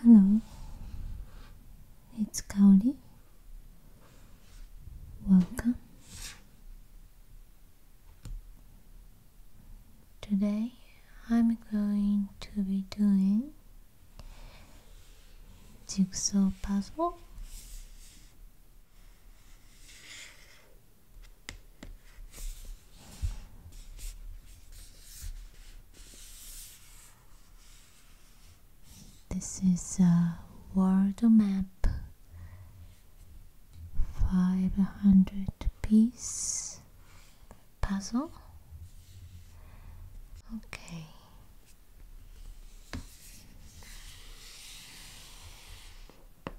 Hello, it's Kaori. Welcome. Today I'm going to be doing jigsaw puzzle this is a world map, 500 piece puzzle. Okay.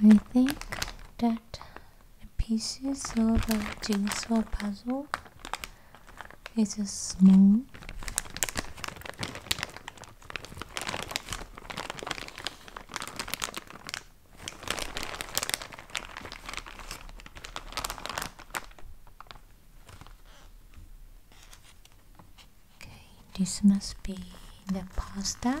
I think that the pieces of a jigsaw puzzle it's just small. Okay, this must be the pasta.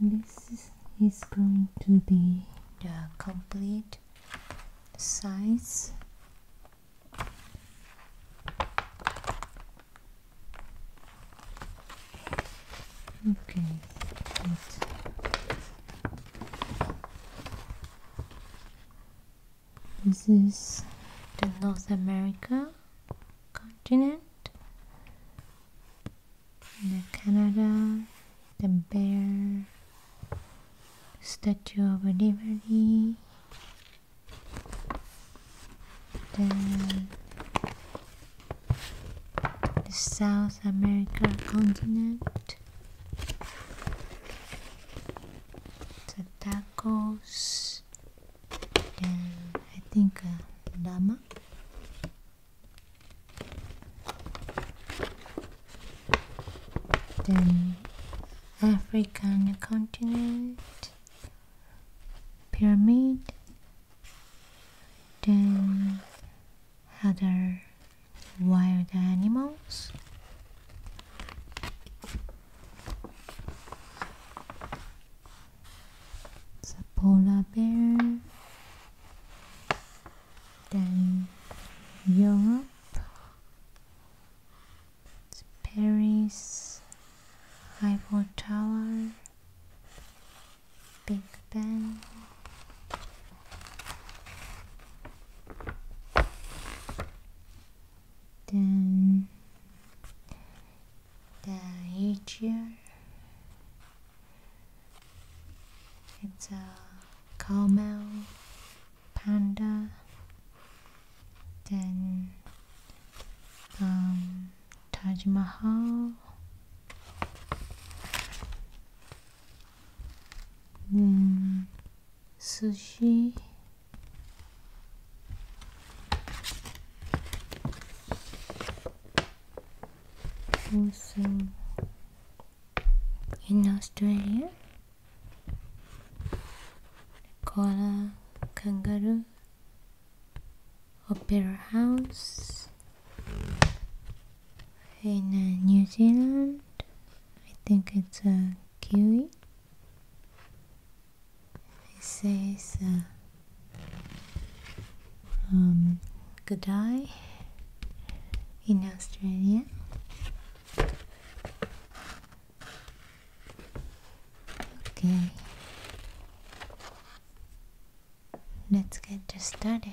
this is going to be the complete size. Okay. This is the North America continent. The Canada, the bear, Statue of Liberty, then the South America continent, the tacos, and I think uh, Rama. Then African continent, pyramid, then other wild animals. It's polar bear. Then Europe. Paris. Eiffel Tower. Big Ben. Then the nature. It's a camel, panda, then um, Taj Mahal. Mm, sushi also in Australia koala kangaroo opera house in uh, New Zealand I think it's a kiwi it says uh, um, good in Australia. Okay, let's get started.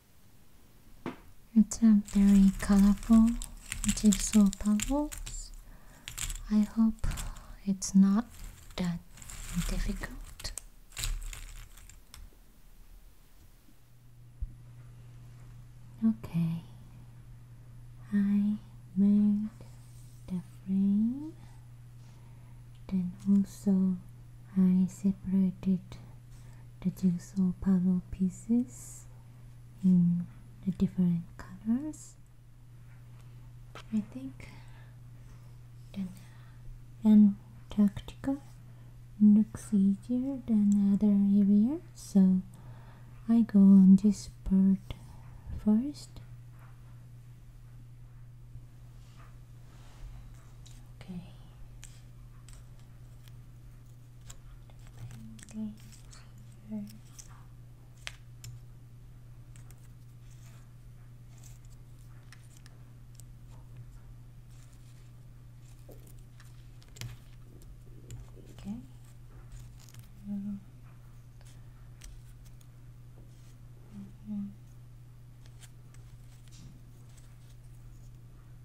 It's very colorful so puzzles. I hope it's not that difficult. Okay, I made the frame, then also I separated the jigsaw puzzle pieces in the different colors I think then and tactical looks easier than other area so I go on this part first okay Okay. Mm. Mm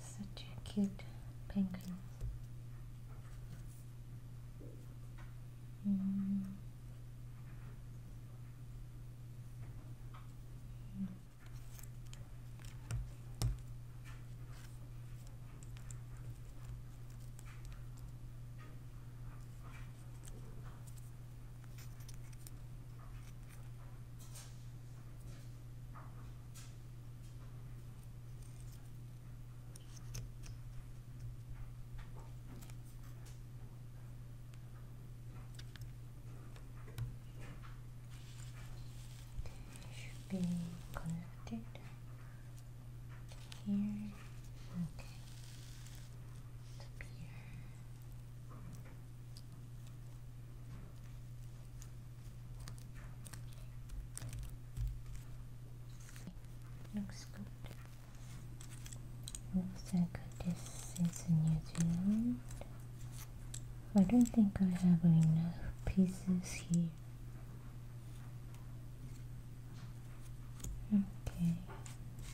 Such a cute penguin. Mm. Mm should be connected here. Okay. Up Looks good. Looks like this is New Zealand. I don't think I have enough pieces here. Okay,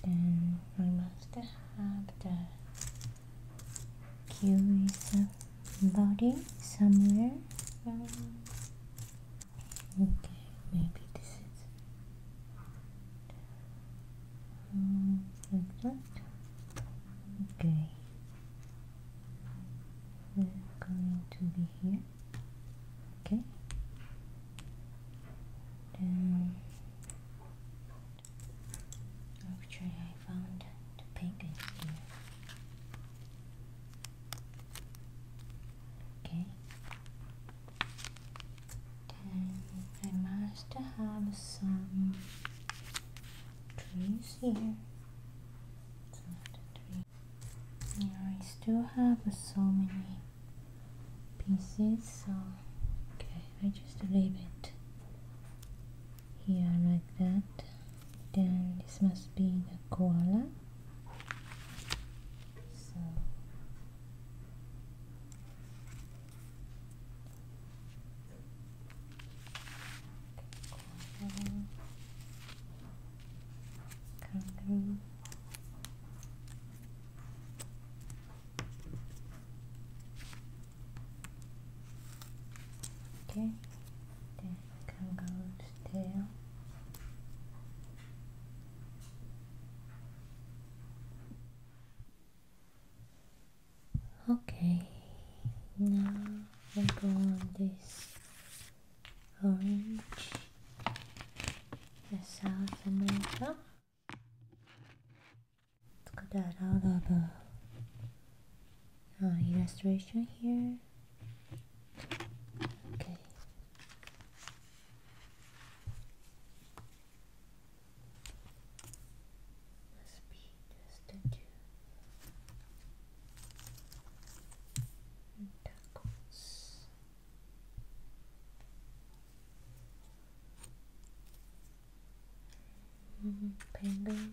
then I must have the Q is a body somewhere. Um, okay, maybe this is um, like that. Okay, we're going to be here. Okay, then Actually, I found the pink here. Okay. Then I must have some trees here. Yeah, I still have so many pieces, so okay, I just leave it here like that then this must be the koala so koala, kangaroo Okay, then kangaroo's tail. Okay, now we go on this orange, the South America. Let's cut that out of the illustration uh, here. Okay. Let's be the statue. Tacos. Penguin. And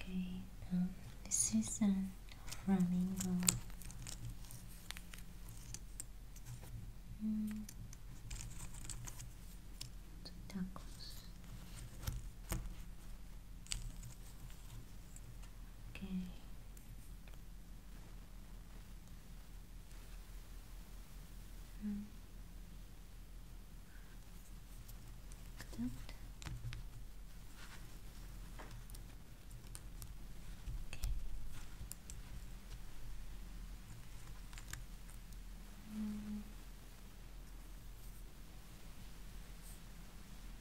Okay, um, this is a flamingo. Mm. Tacos. Okay. Hmm. Good. Okay. Hmm.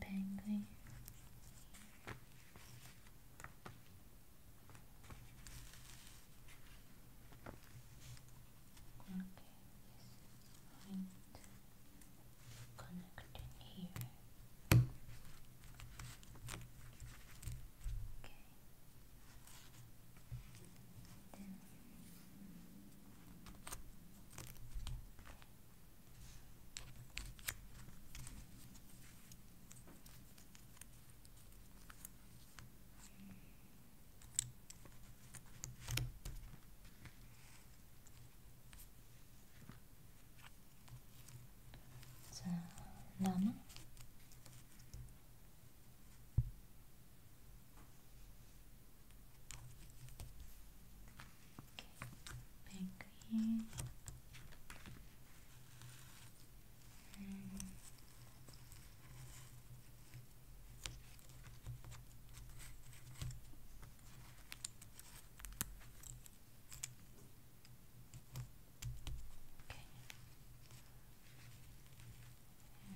Penguin going to connect here. Okay. Then it's a Okay, penguin. Okay. And it's here.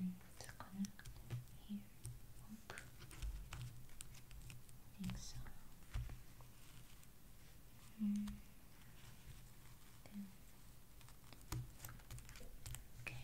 Oop. I think mm. Ten. Okay. Okay.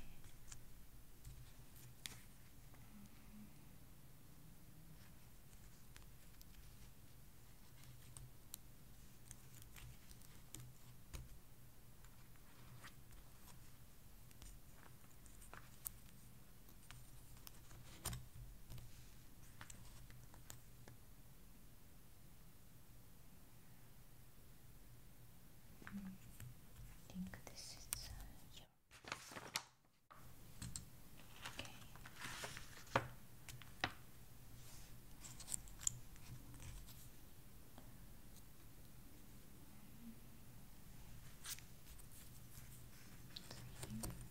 I think this is Okay. Thank you.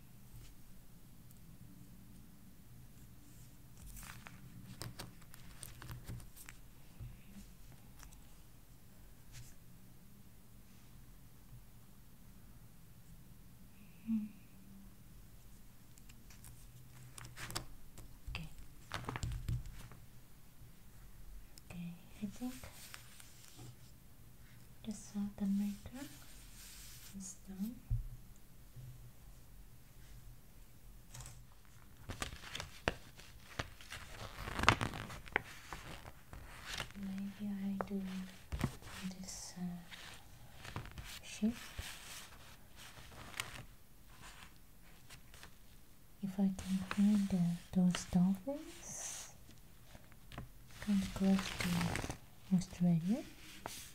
Hmm. Okay. Okay, I think just saw the maker is done. Maybe I do this uh, shift. If I can find those dolphins, come close to Australia.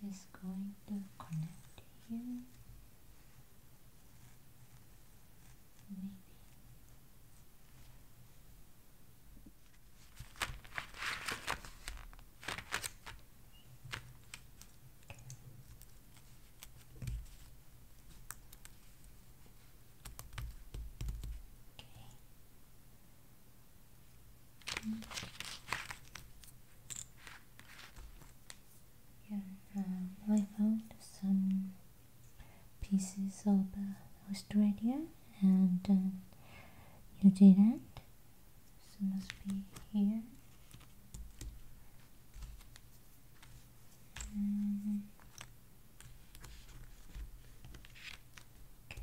This is going to connect here Maybe. Okay. -hmm. Here, I found some pieces of Australia uh, and New uh, Zealand. So must be here. Um, okay.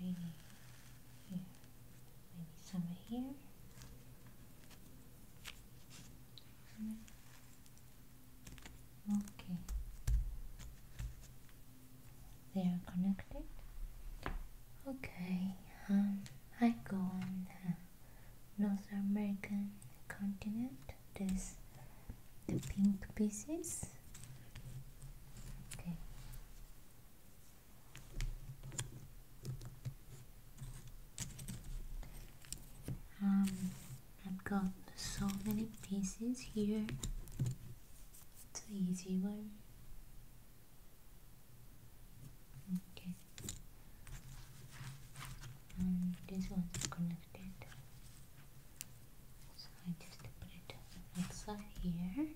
maybe here, maybe somewhere here. Okay, they are connected. Okay, um, I go and. North American continent. There's the pink pieces. Okay. Um, I've got so many pieces here. It's the easy one. Okay. Um, this one's connected. So I just put it outside here.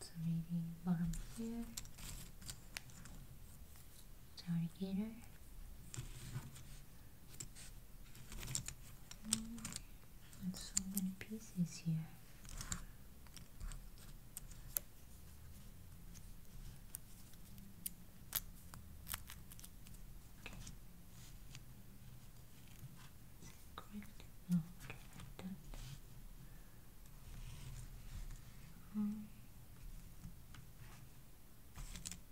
So maybe bottom here. Sorry, and so many pieces here. Okay. Correct. No, okay, that. Um.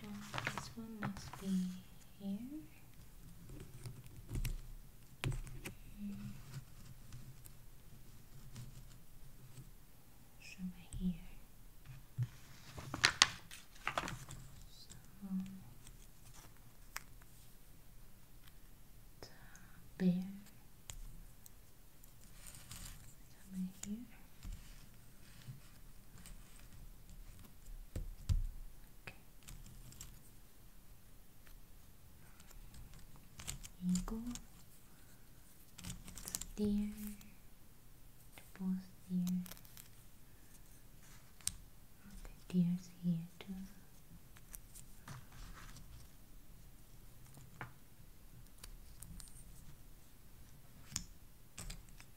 this one must be here. Somewhere here. So bear somewhere here eagle deer both deer okay deer's here too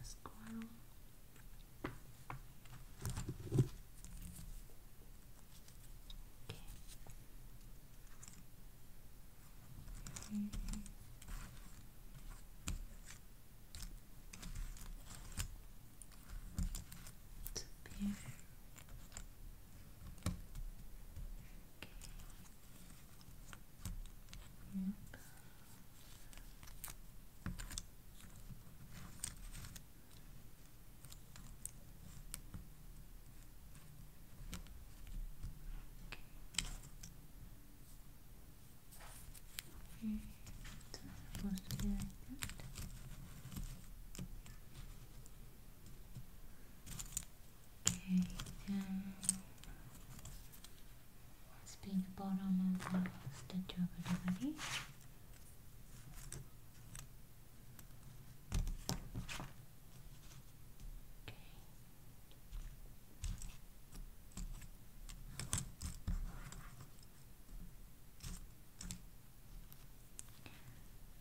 a squirrel. Okay. Mm -hmm. Yep. Okay. It's supposed to be like that. Okay, Let's um, be the bottom of the Statue of Liberty. Okay.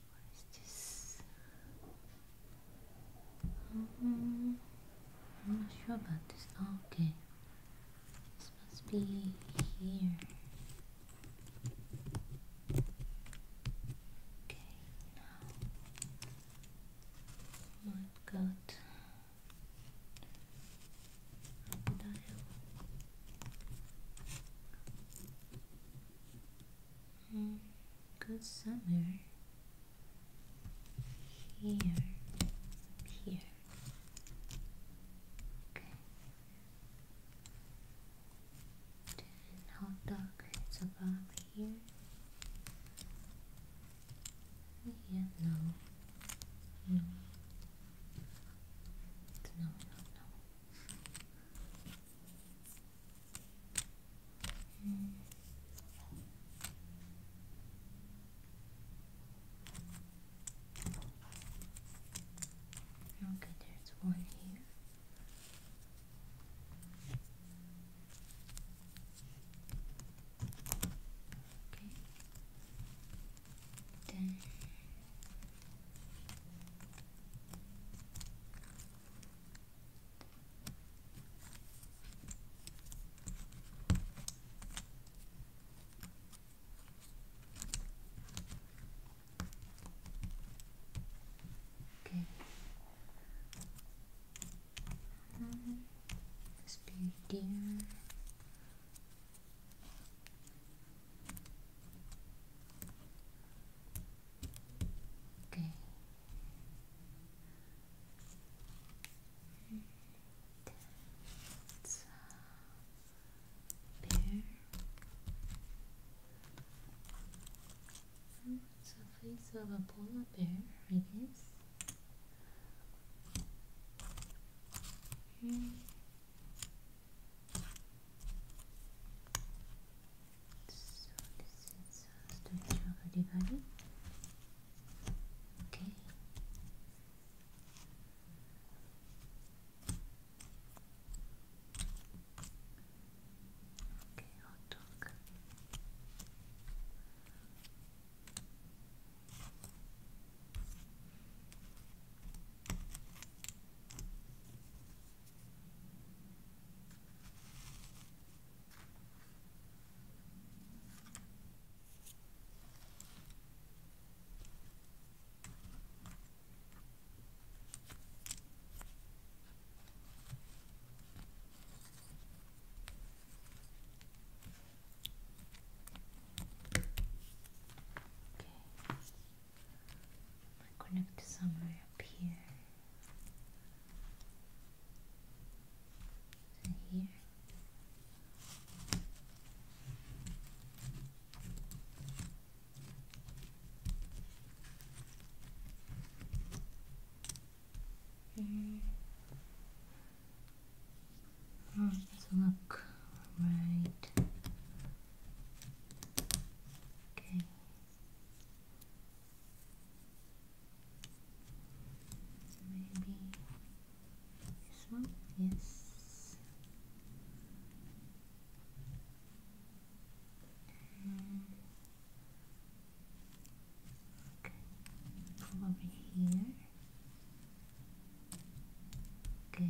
What is this? I'm not sure about this. okay. This must be here. Okay, now I've got crocodile. Hmm. Good summer. here, here. Okay. Then hot dog is above here. Yeah, No. No, no, no. Okay, there's one here. Okay. Then Okay. Um, let Okay a bear. Oh, it's a face of a polar bear, I guess. Mm. So this is uh, storage the body. Okay. Okay, hot dog. Okay. connect somewhere up here here. Mm. let's look right. Okay. So maybe this one? Yes. And okay. From over here. Okay.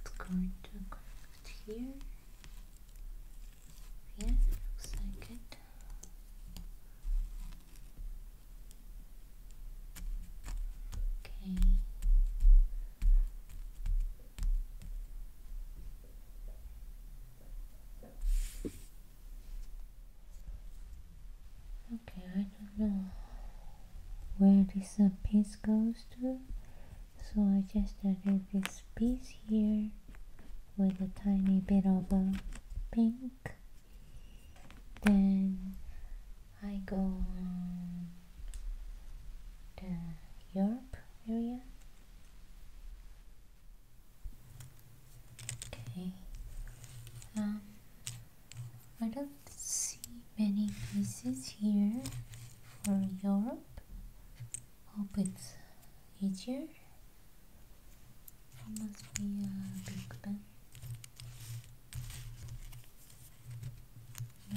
it's going to connect here. Yes, looks like it. Okay. Okay, don't know where this uh, piece goes to so I just added this piece here with a tiny bit of a uh, pink then I go um, the Europe area okay um, I don't see many pieces here for Europe. Hope it's easier. must be a big pen. I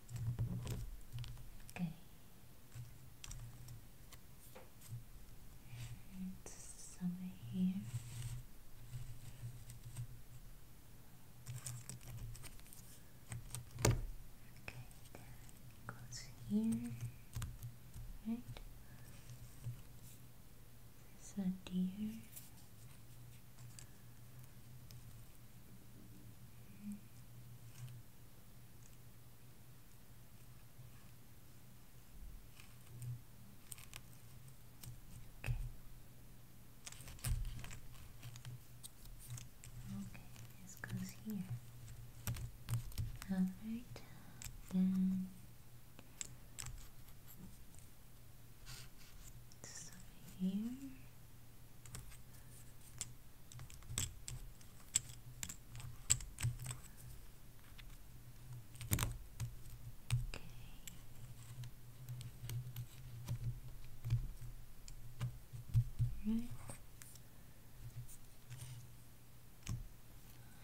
Okay. It's somewhere here. Okay, that goes here. Right. It's a Okay. Okay, this goes here. Alright, then this over here. Right.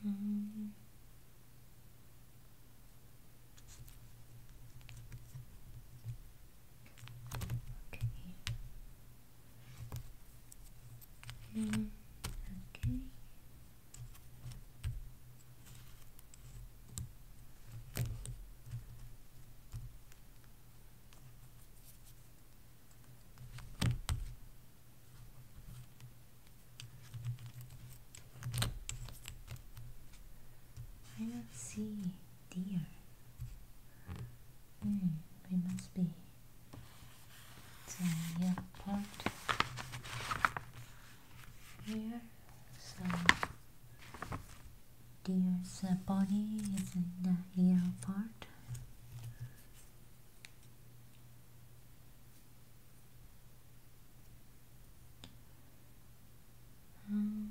Um. Mm. Okay. Mm, okay. I don't see dear. Mm, we must be. So uh, yeah, part here. So deer's uh, body is in the uh, ear part. Um,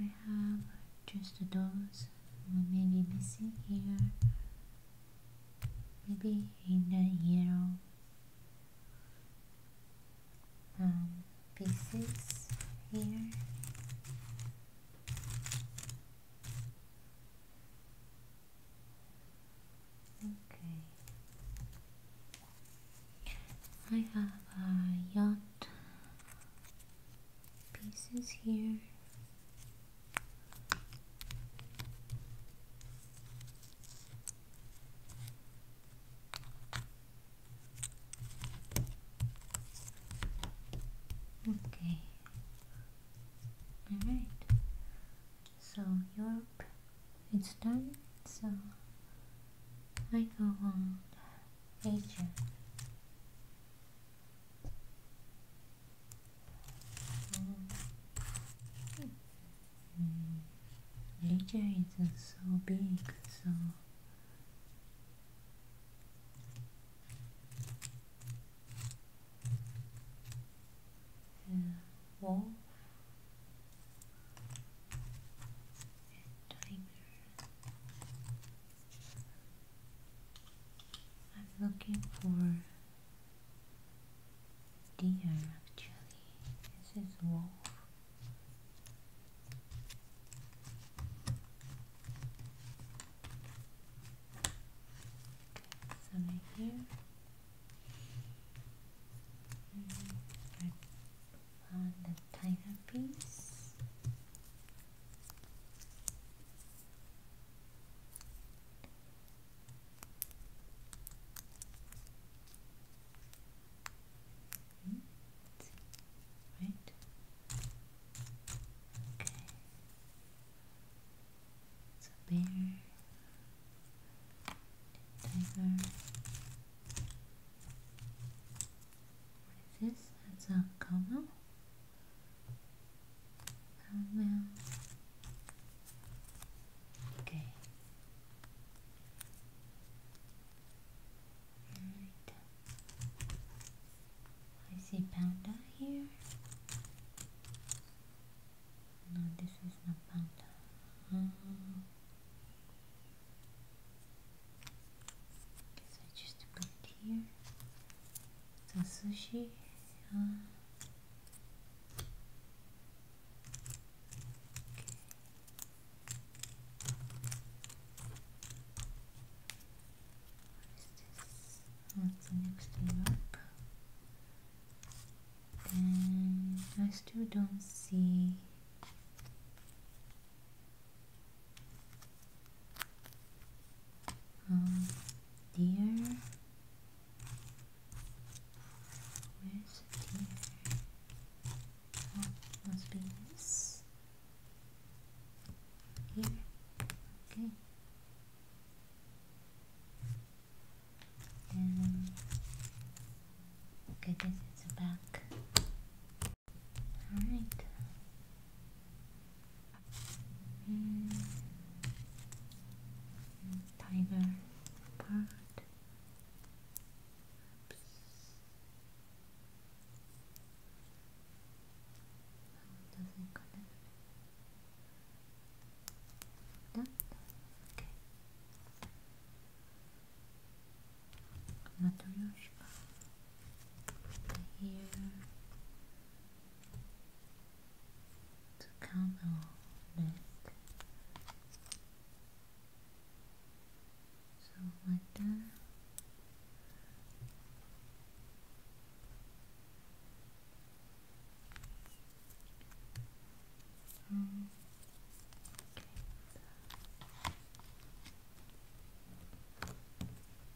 I have just those maybe missing here maybe in the yellow um, pieces here okay I have a yacht pieces here. Okay. Alright. So Europe it's done. So I go on Asia. Nature is so big, so yeah, wall I'm looking for deer actually. This is wolf. so right here. Mm -hmm. I the tiger piece. Right. Okay. It's a bear. tiger. What is this? That's a camel. And then, okay. Alright. I see panda here. No, this is not panda. Oh. I just put here sushi What is the next thing I still don't see um, deer. Where's deer? Oh, must be this. Here. Okay. And okay, this is back. All right. Mm. Tiger part. Oops. How does it connect? Done. Okay. Not too much. Here. to count our neck. So like that. Um,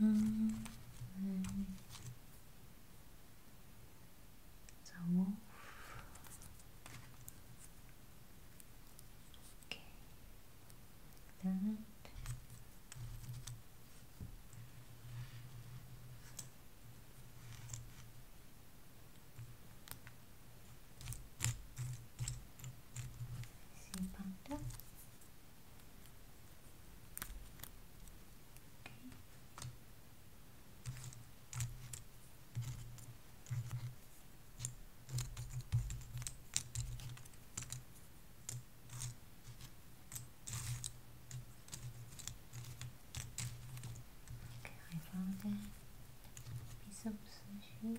It's a wolf. Okay. That. See panda. Okay, I found that piece of sushi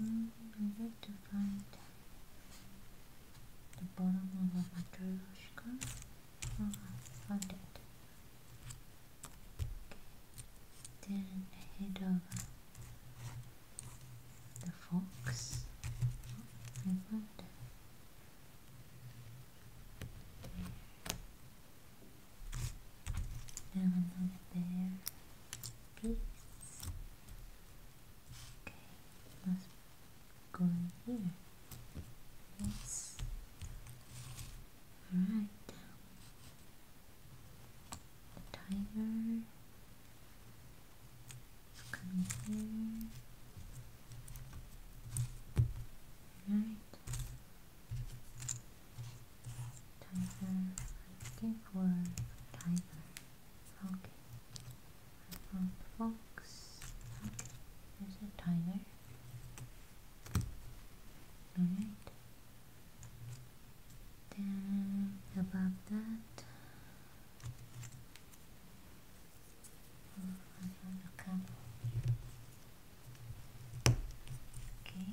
Mm, I like to find the bottom of a matryoshka. Oh, I found it. Okay. Then head over the fox. I found it. And another there. Peace. Okay, let go in here. Yes. Alright. The timer. coming here. Right. Tiger, I for tiger. Okay. I fox. Okay, there's a tiger. Alright. Then above that Okay.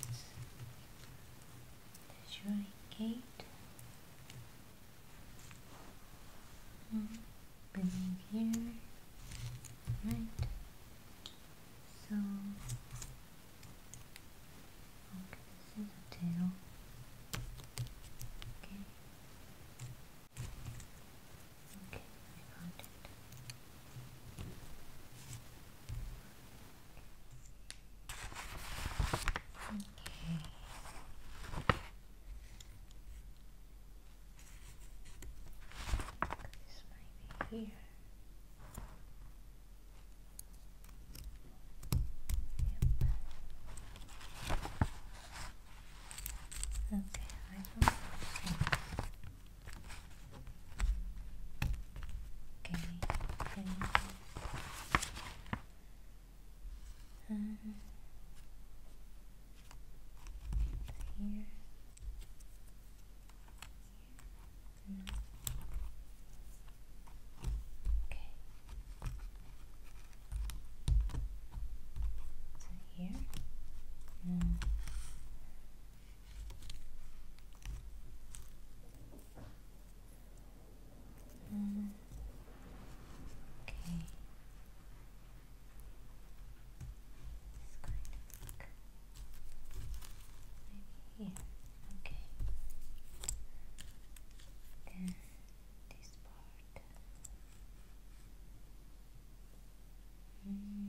the Shrine Gate mm -hmm. building here right so okay this is a tail okay okay I found it Okay. This might be here. Yep. Okay, I don't Okay, okay. here. No. Okay. So here. No. Okay. It's going to look maybe here. Okay. Then this part. Mm.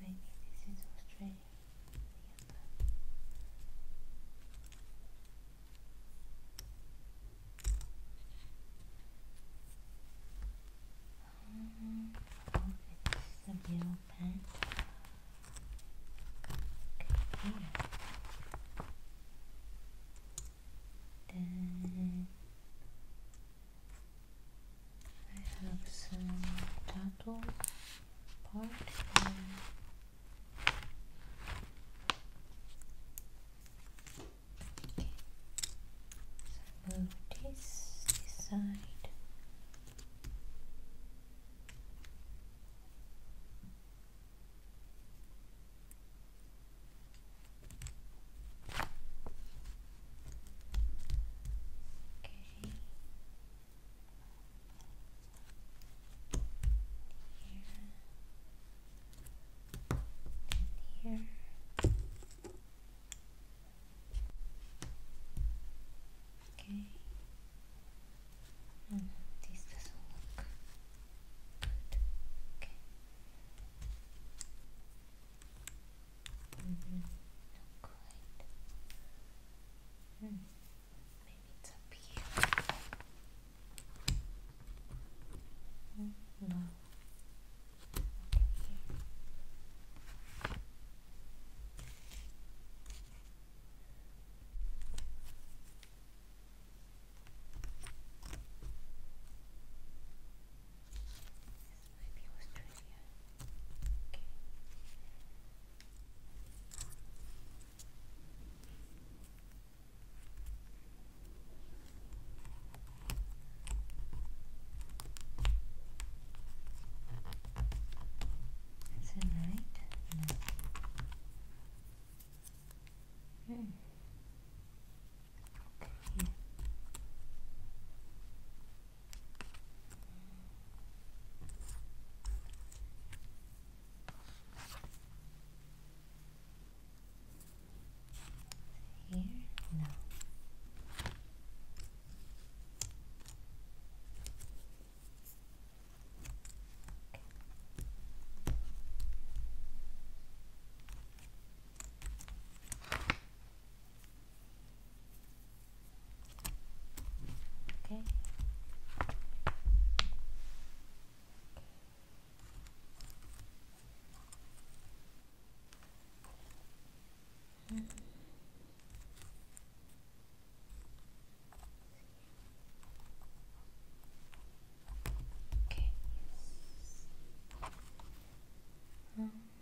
Maybe this is Australia. oh, this is the yellow pen. Okay, then I have some tattoo part and Okay. So move this side. Okay. Here. here. Okay. No, this doesn't look good. Okay. Mm -hmm. Not quite. Hmm. Maybe it's up here. Mm, no. This might Is it right? Hmm. Okay. Here? No. Okay. Mm -hmm. Okay. Um.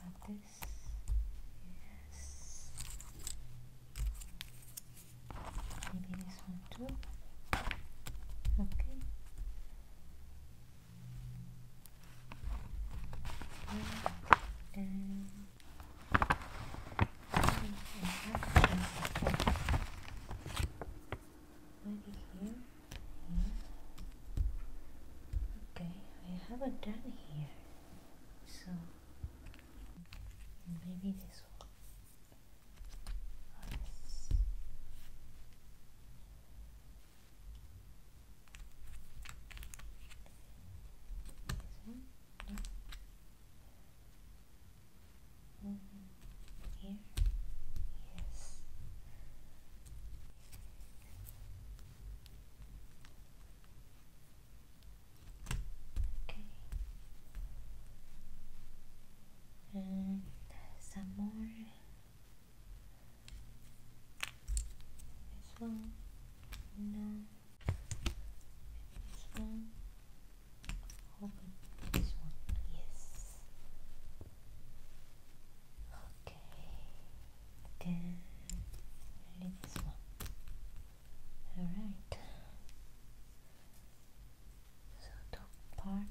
about this? Yes. Maybe this one too. Okay. And Maybe here, Okay, I haven't done here, so maybe this one. Here, yes. Okay. And some more. This one. No. This one. Open this one. Yes. Okay. Then leave this one. All right. So top part.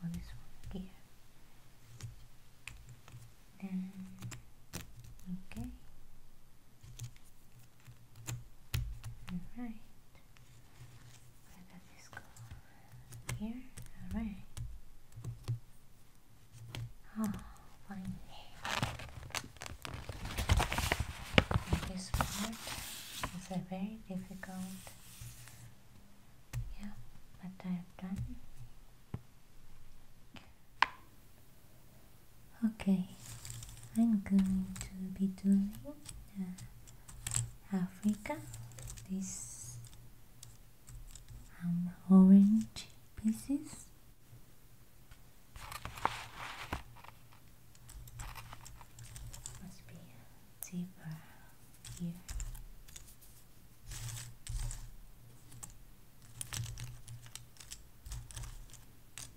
Well, this one here. Then, okay. Alright. Where does go? Here? Alright. Oh, finally. this part is a very difficult. Yeah, but I've done. Okay, I'm going to be doing uh, Africa. These um, orange pieces. Must be deeper here.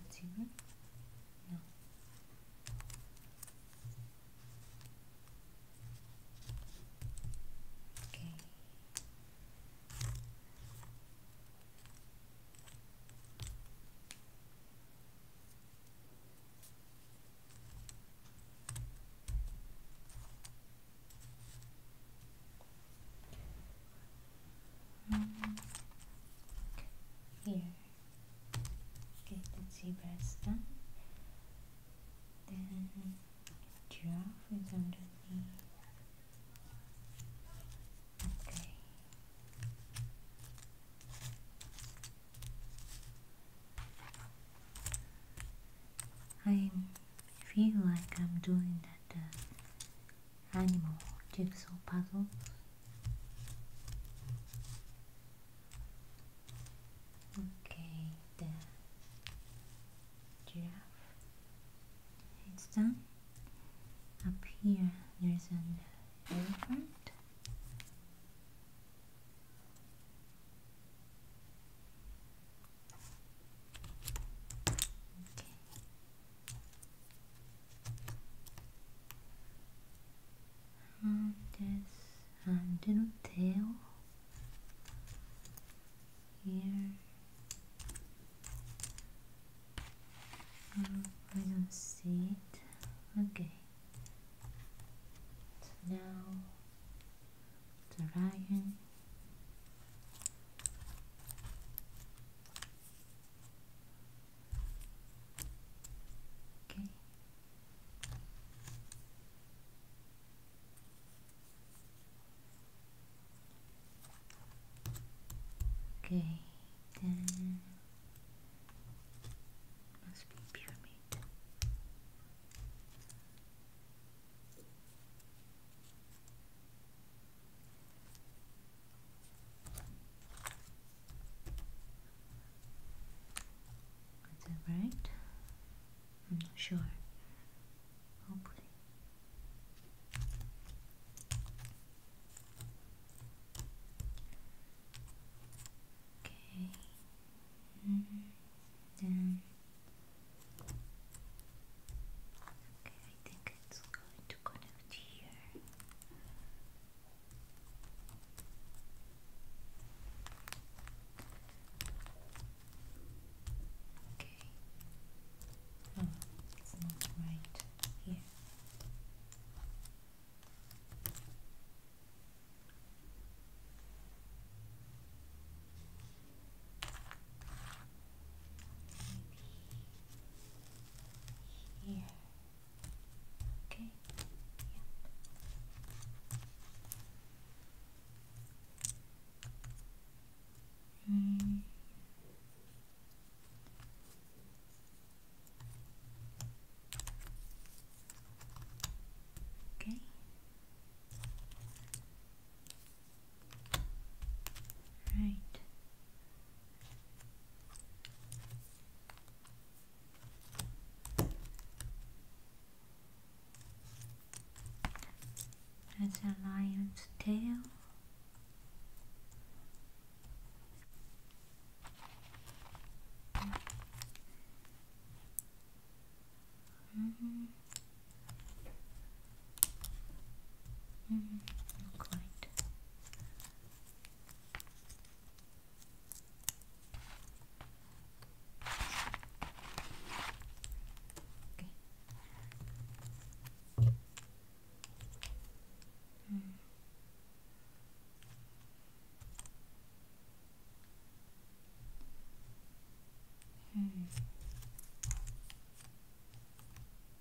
consumer? No. Okay. Okay. Here. get the zebra is done. Then giraffe is underneath. Okay. I feel like I'm doing that uh, animal jigsaw puzzle. Okay, the giraffe. It's done. Up here, there's an elephant. Okay. And this and little tail here. I don't see it. Okay. now the lion. Okay. Okay, then must be pyramid. Is that right? I'm not sure. Okay. -hmm. Then. Okay. I think it's going to connect here. Okay. Oh, it's not right here maybe here. Okay. Yeah. Mm. Okay. Right. That's a lion's tail. -hmm. Mm, not quite. Okay. Mm. Mm.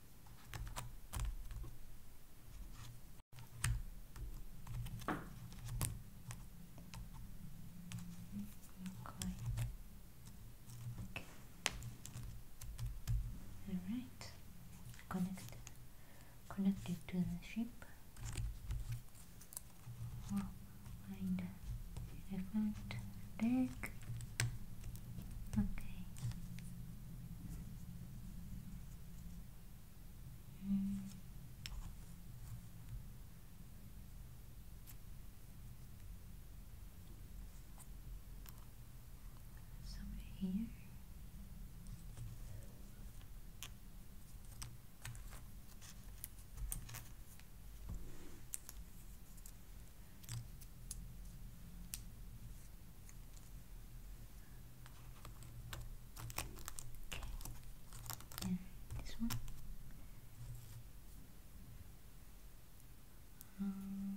Okay. Alright. Connect connect to the ship. Oh, find elephant deck. Okay. Mm. Somewhere here. Okay. And this one. Um,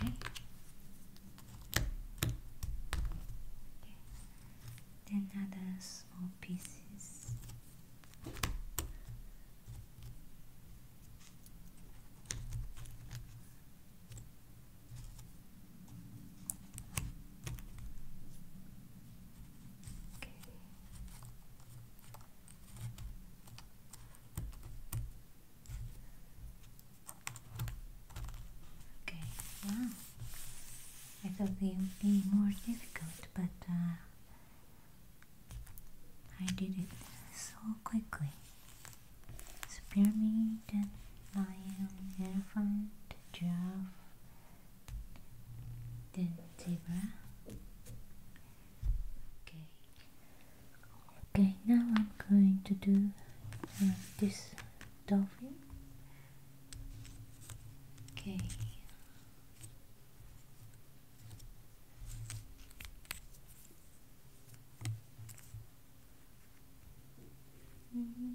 Okay. Then other small pieces. Okay. Okay, wow. I thought it would be more difficult, but uh, I did it so quickly. Spearmint, lion, elephant, giraffe, then zebra okay okay now I'm going to do uh, this dolphin okay Mm -hmm.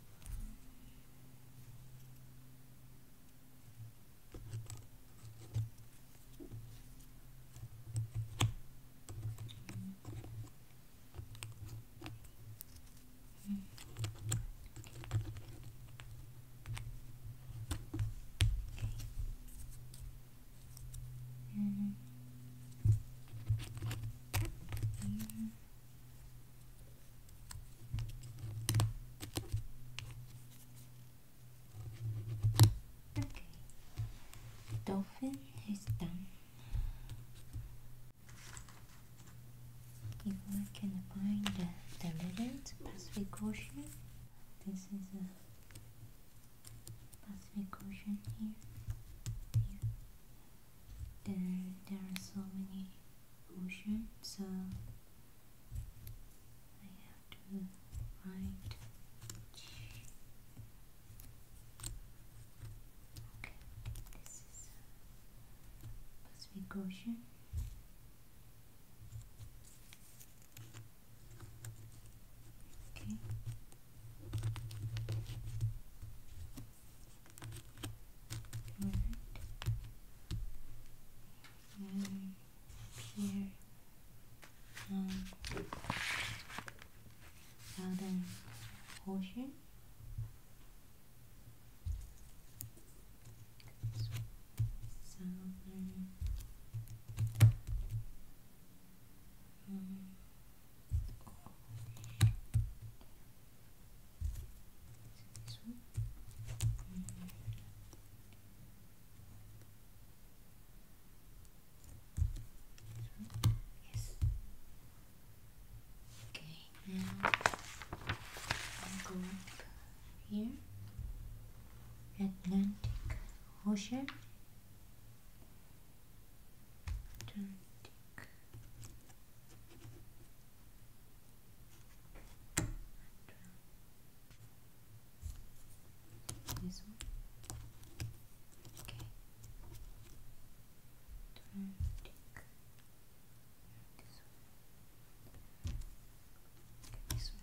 Mm -hmm. -hmm. Dolphin is done. If can find the, the legend Pacific this is a Pacific Ocean here there there are so many ocean so I have to write okay this is uh, Pacific Ocean Okay. Good. And here. Um, Southern Ocean. Southern. Um, this one? Okay, now i go up here. Atlantic Ocean. Atlantic this one. Okay. this one. Take this one.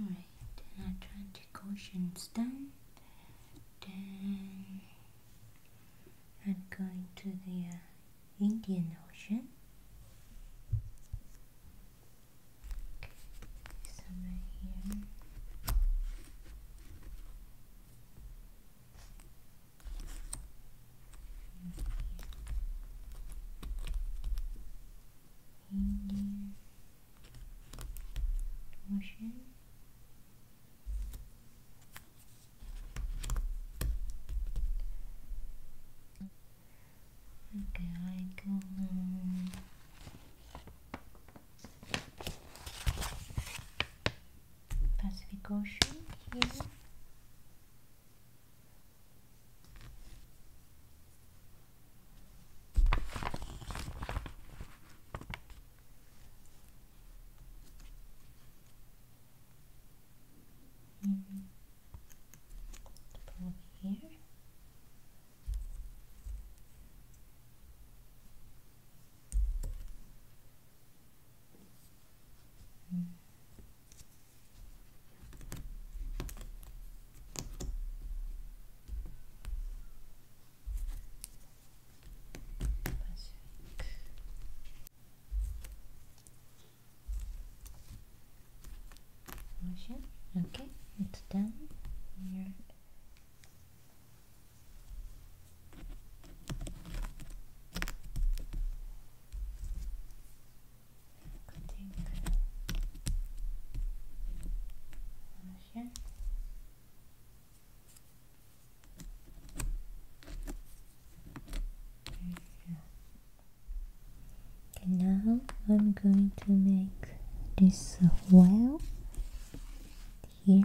Right, then Atlantic Ocean's done. Then I'm going to the uh, Indian Ocean. Indian Ocean Okay, I go um, Pacific Ocean here Mm -hmm. here. Mm. Motion. Okay, it's done. Here cutting Okay, now I'm going to make this well here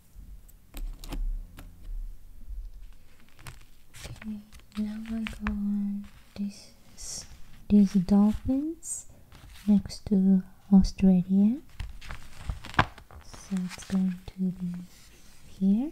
Okay, now I go on this is dolphins next to Australia. So it's going to be here.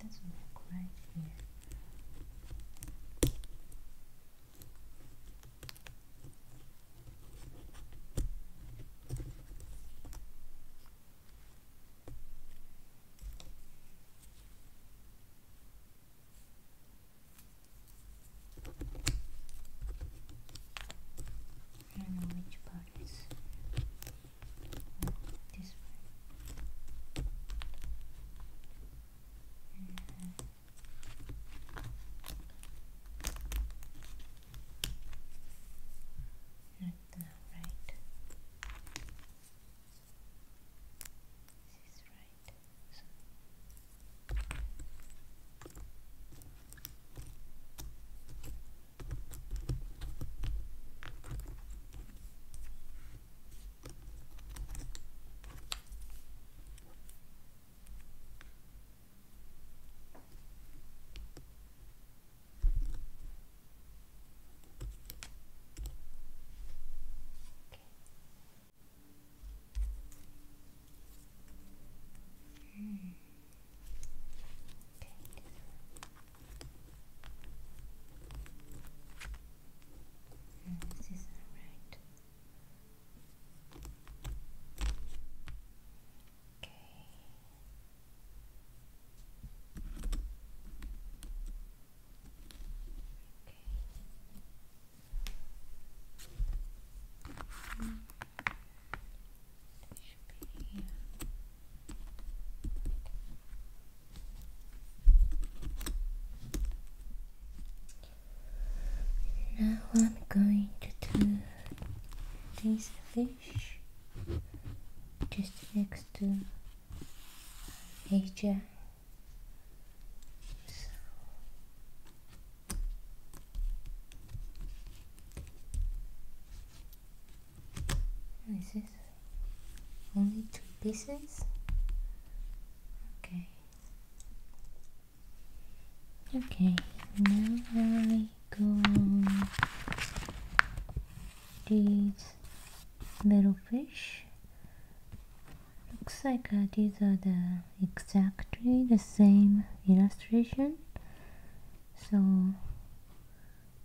That's all right. not look right here. Okay. I do know which part is this one. Uh, not right. This is right. So. Mm. Mm, this is alright. Okay. Okay now I'm going to do this fish just next to Asia so what is Only two pieces? Okay. Okay, now I go on these little fish looks like uh, these are the exactly the same illustration so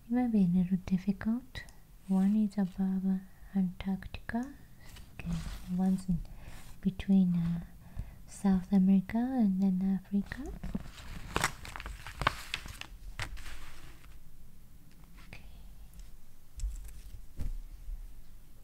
it might be a little difficult one is above Antarctica okay. one's between uh, South America and then Africa okay.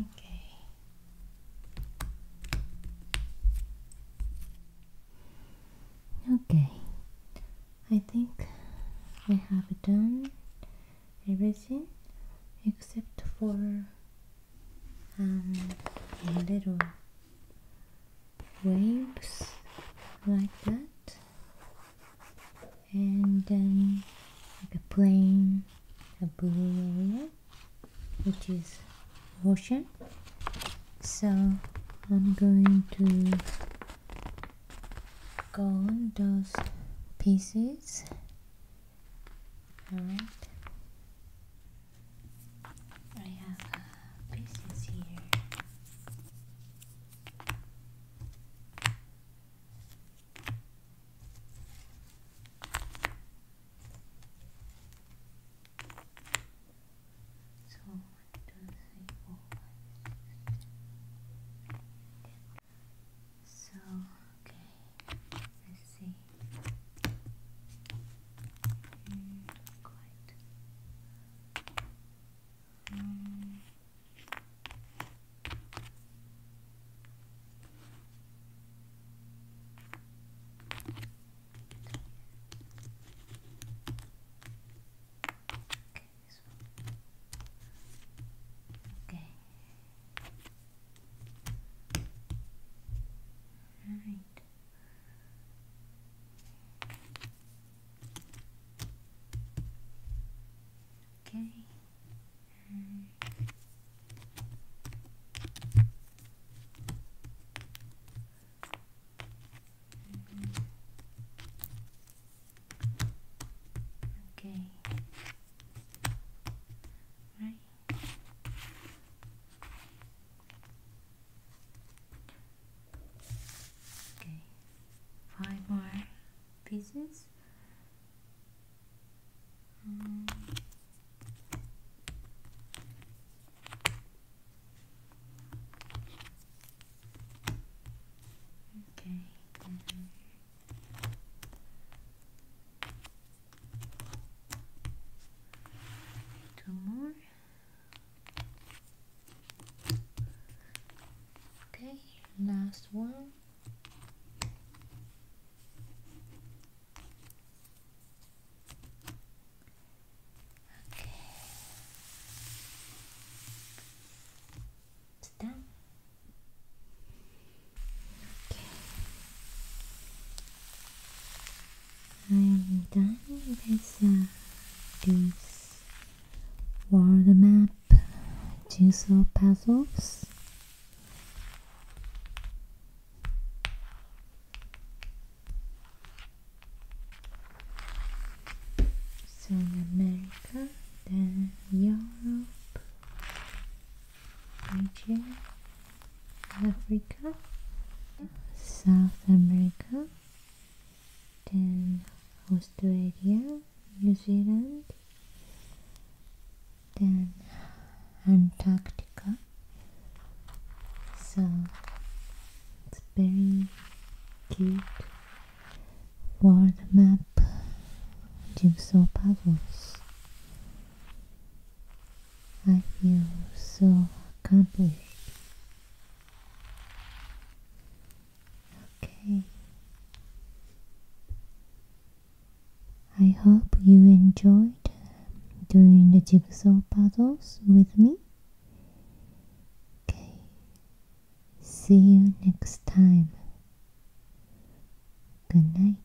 Okay. Okay. I think I have done everything except for um, little waves like that and then um, like a plain a blue which is ocean so I'm going to go on those pieces alright I have uh, pieces here so one, two, three, four, five, six, seven, So okay, let's see. quite. Um, Okay. All right. Okay. Mm. Mm. Okay. Right. Okay. Five more pieces. Okay. Two more. Okay, last one. Okay. I'm done with this world map jigsaw puzzles. South America, then Europe, Asia, Africa, South America, then Australia, New Zealand, then Antarctica. So it's very cute world map jigsaw puzzles. I feel so accomplished. Okay. I hope you enjoyed doing the jigsaw puzzles with me. Okay, see you next time. Good night.